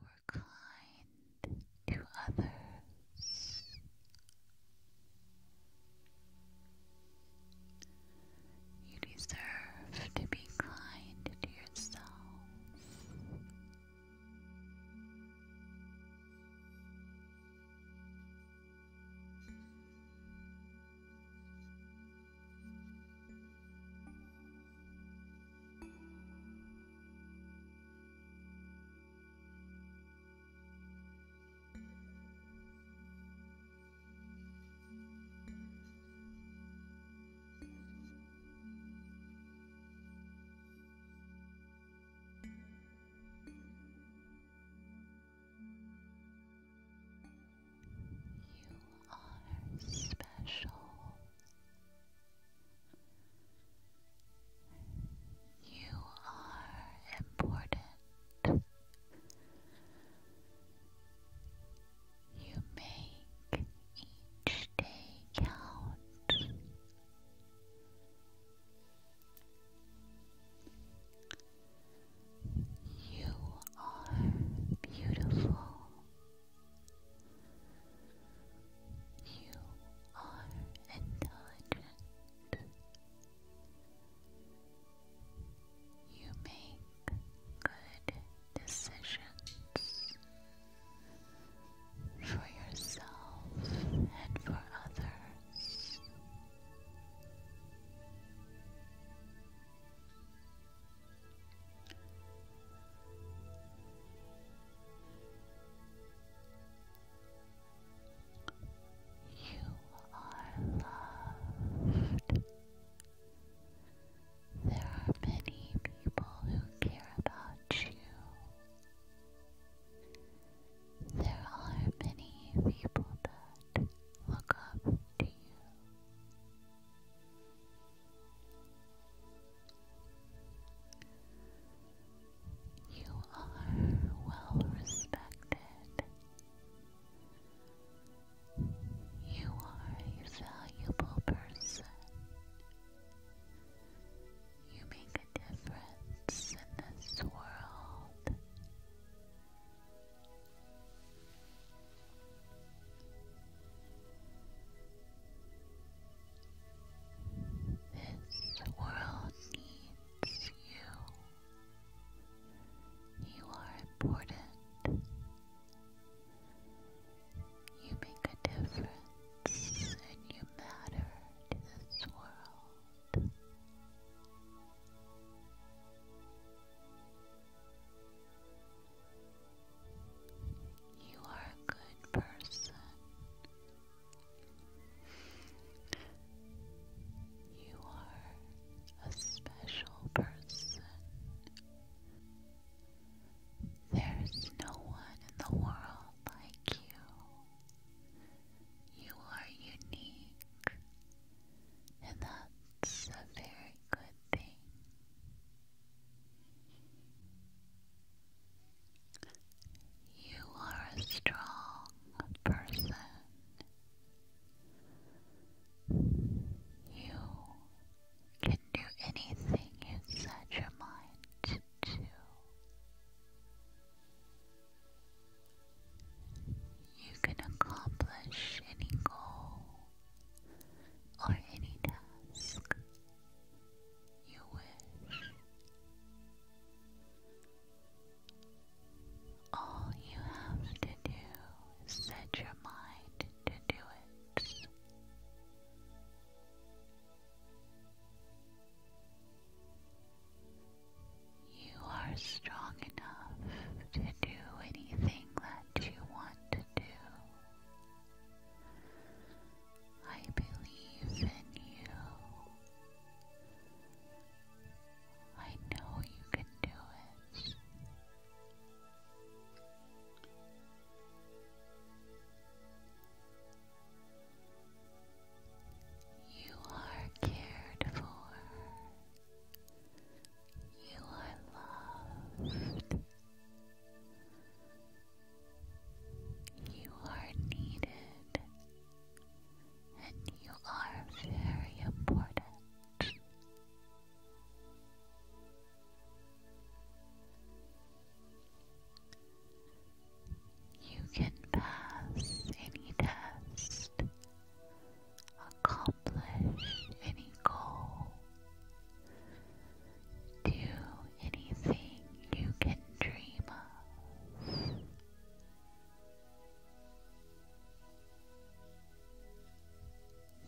You were kind to others. You deserve to be kind to yourself. You are special. You are important. You make each day count. You are beautiful. You are intelligent. You make good decisions for yourself and for others. You are loved. There are many people who care about you. There are many people that look up to you. You are well respected. You are a valuable person. You make a difference in this world. This world needs you. You are important. You make a difference and you matter to this world. You are a good person. You are a special person. There's no one in the world like you. You are unique, and that's a very good thing. You are a strong person. You can do anything you set your mind to You can accomplish any goal or any task you wish. All you have to do is set your mind to do it. You are strong enough to do anything that you want to do. I believe in you. I know you can do it. You are cared for. You are loved. You are needed and you are very important. You can pass any test, accomplish any goal, do anything you can dream of.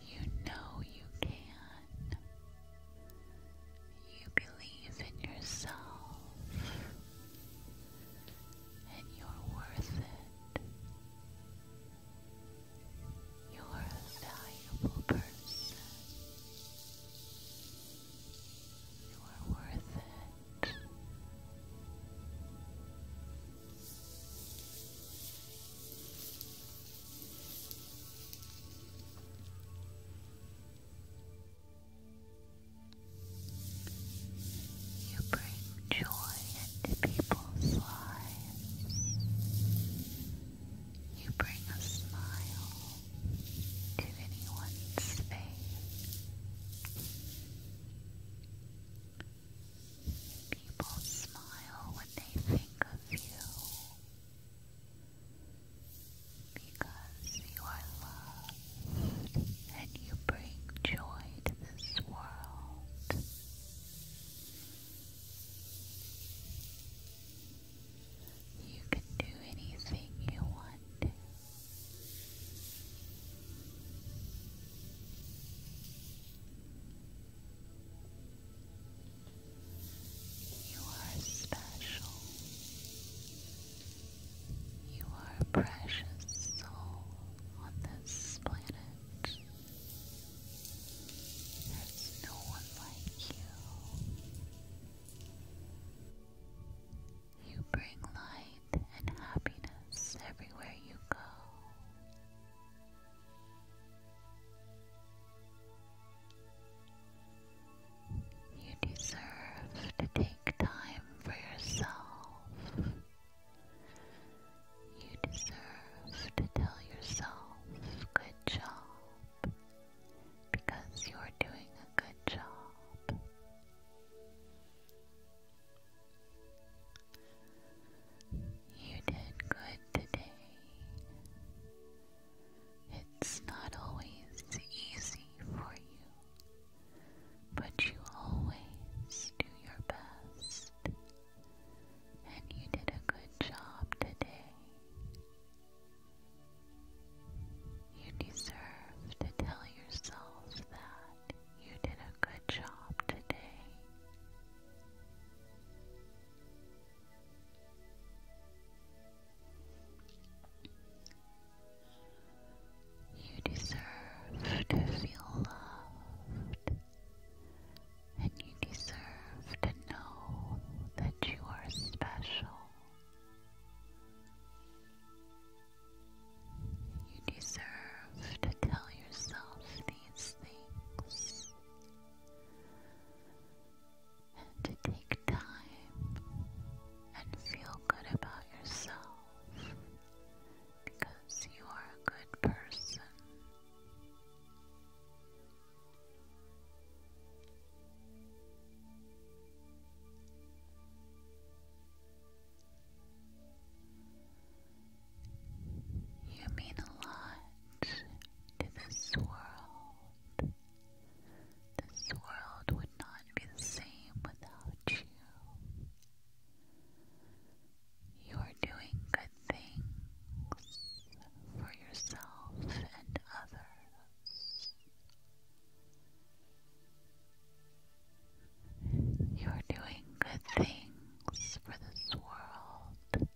You know you can. You believe in yourself and you're worth it. You're a valuable person. You are worth it. You bring joy into people's lives. You bring a smile to anyone's face. People smile when they think of you because you are loved and you bring joy to this world. You can do anything you want You are special. You are a precious soul on this planet. There's no one like you. You bring light and happiness everywhere you go. You deserve to take time for yourself. You deserve to tell yourself, good job, because you're doing a good job. You did good today. It's not always easy for you, but you always do your best, and you did a good job today. You deserve to tell yourselves that you did a good job today. You deserve to feel loved and you deserve to know that you are special. You deserve to tell yourself these things and to take time and feel good about yourself because you are a good person. You mean a lot to this world. This world would not be the same without you. You are doing good things for yourself and others. You are doing good things for this world,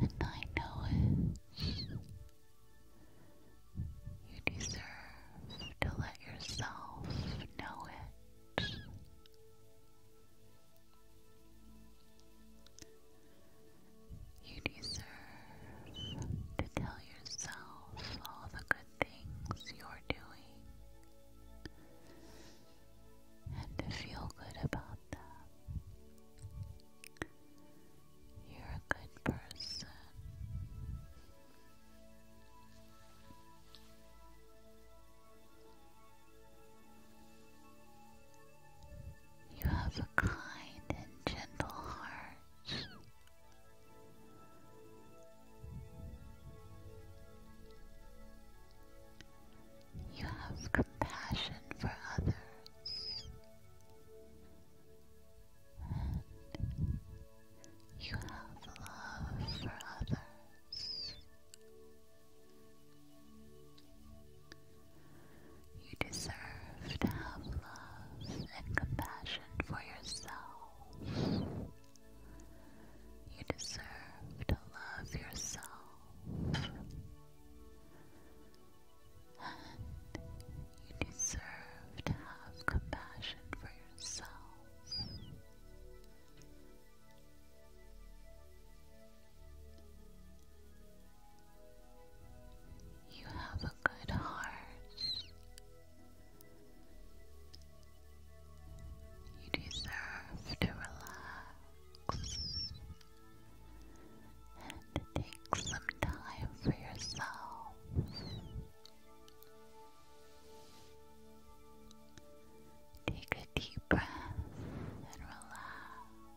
and I know it. You deserve to let yourself know it. You deserve to tell yourself all the good things you're doing and to feel good about them. You're a good person. You have a kind and gentle heart. You have compassion for others, and you have love for others. You deserve to have love and compassion for yourself. You deserve to love yourself. And you deserve to have compassion for yourself. You have a good heart. You deserve to relax and take some time for yourself. Take a deep breath and relax.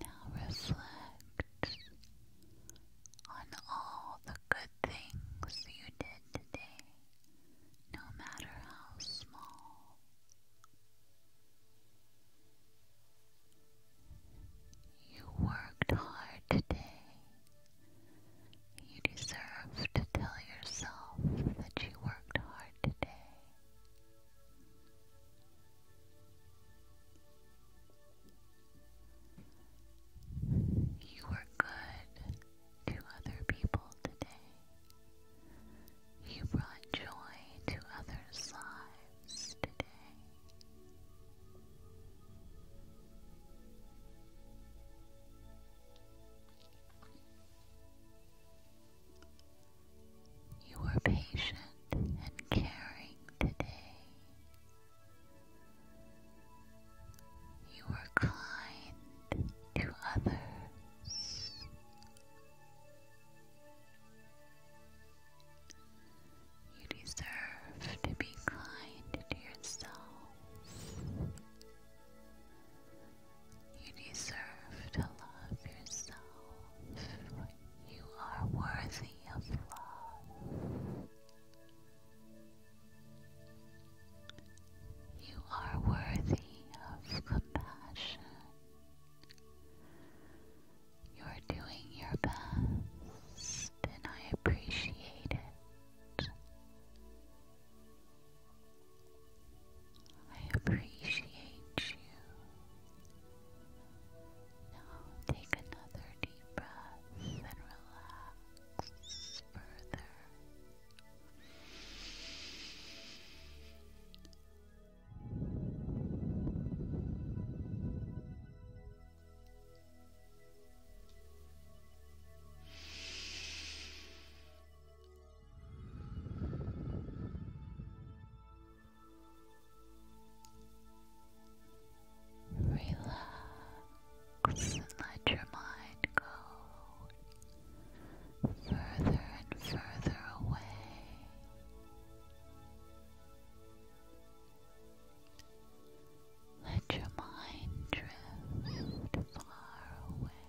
Now reflect on all the good things you did today, no matter how small. You worked hard today. You deserve to tell yourself that you worked hard today. You were good to other people today. You brought joy to others' lives today. You were patient and caring today. You were kind to others. You deserve to be kind to yourself. You deserve to love yourself you are worthy of love. You are worthy of compassion. You're doing your best, and I appreciate it. I appreciate you. Now take another deep breath and relax further. Now Relax and let your mind go further and further away. Let your mind drift far away.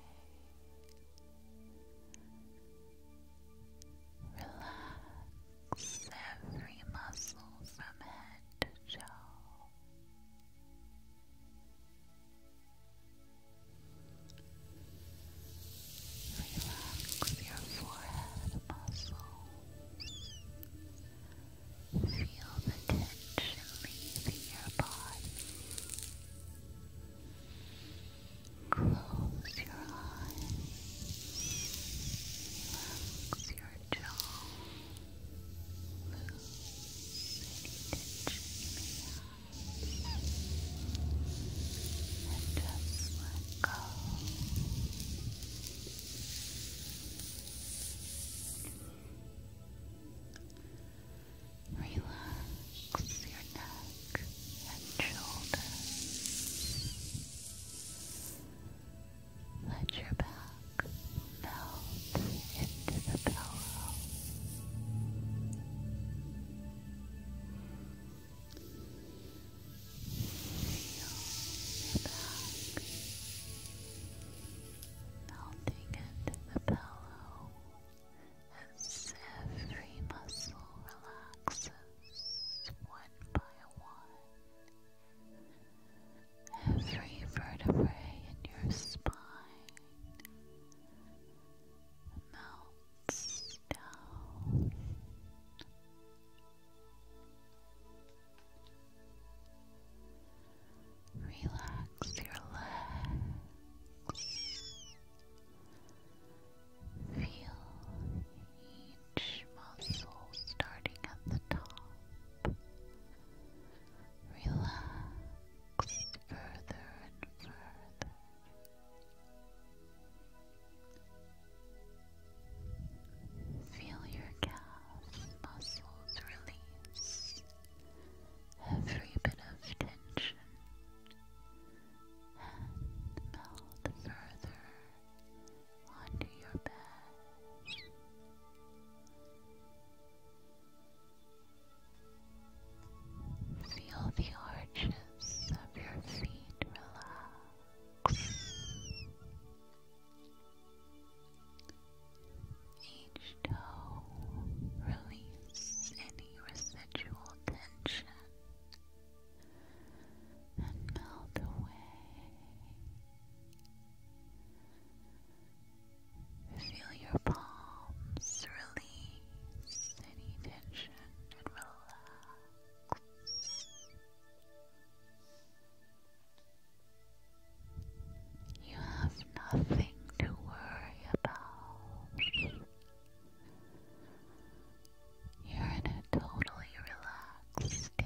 Relax every muscle from head to toe. Relax your forehead muscles. Feel the tension leaving your body. Close your eyes. Relax your jaw. Loose tension you may have. And just let go. Relax your neck neck and shoulders. Let your back melt into the pillow. Feel your back melting into the pillow as every muscle relaxes one by one every vertebrae in your spine melts down. Relax your legs. Feel each muscle starting at the top. Relax further and further. Feel your calf muscles release every bit of tension and melt further onto your bed. Feel the arches of your feet relax. Each toe release any residual tension and melt away. Feel your palms release any tension and relax. You have nothing to worry about. You're in a totally relaxed state.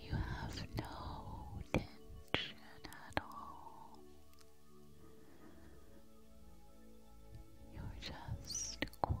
You have no tension at all. You're just quiet.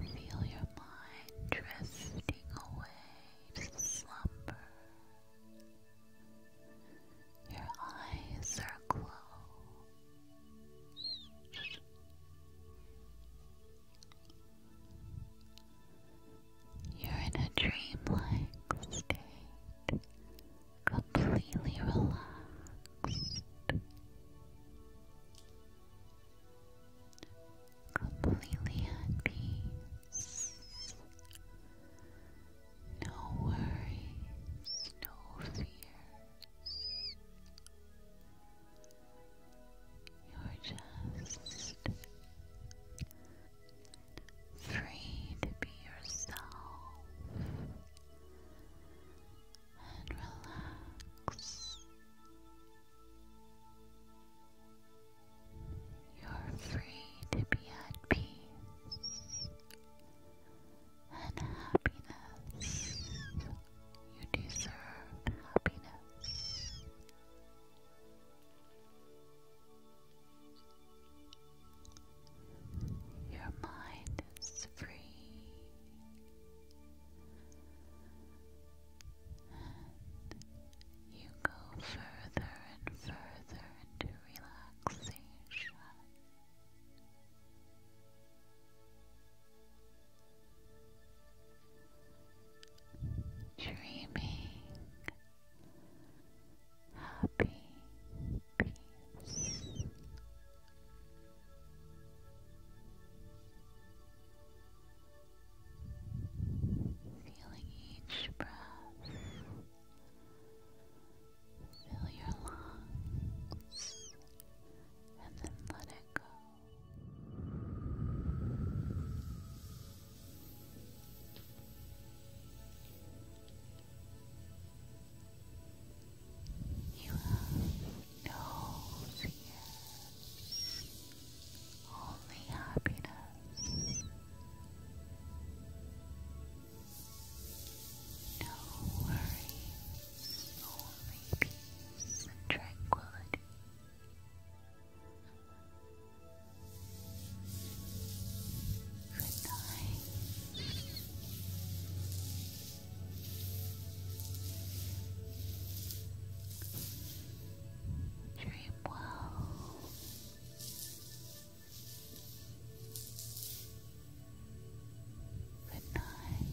Feel your mind drifting away to slumber. Your eyes are closed. You're in a dreamlike state, completely relaxed completely at No worries, no fears. You're just free to be yourself and relax you're free to be at peace and happiness. You deserve happiness. Your mind is free. And you go further and further into relaxation. Dreaming, happy peace. Feeling each breath fill your lungs and then let it go. You have no fears only happiness. No worries, only peace and tranquility. Good night. Dream well. Good night.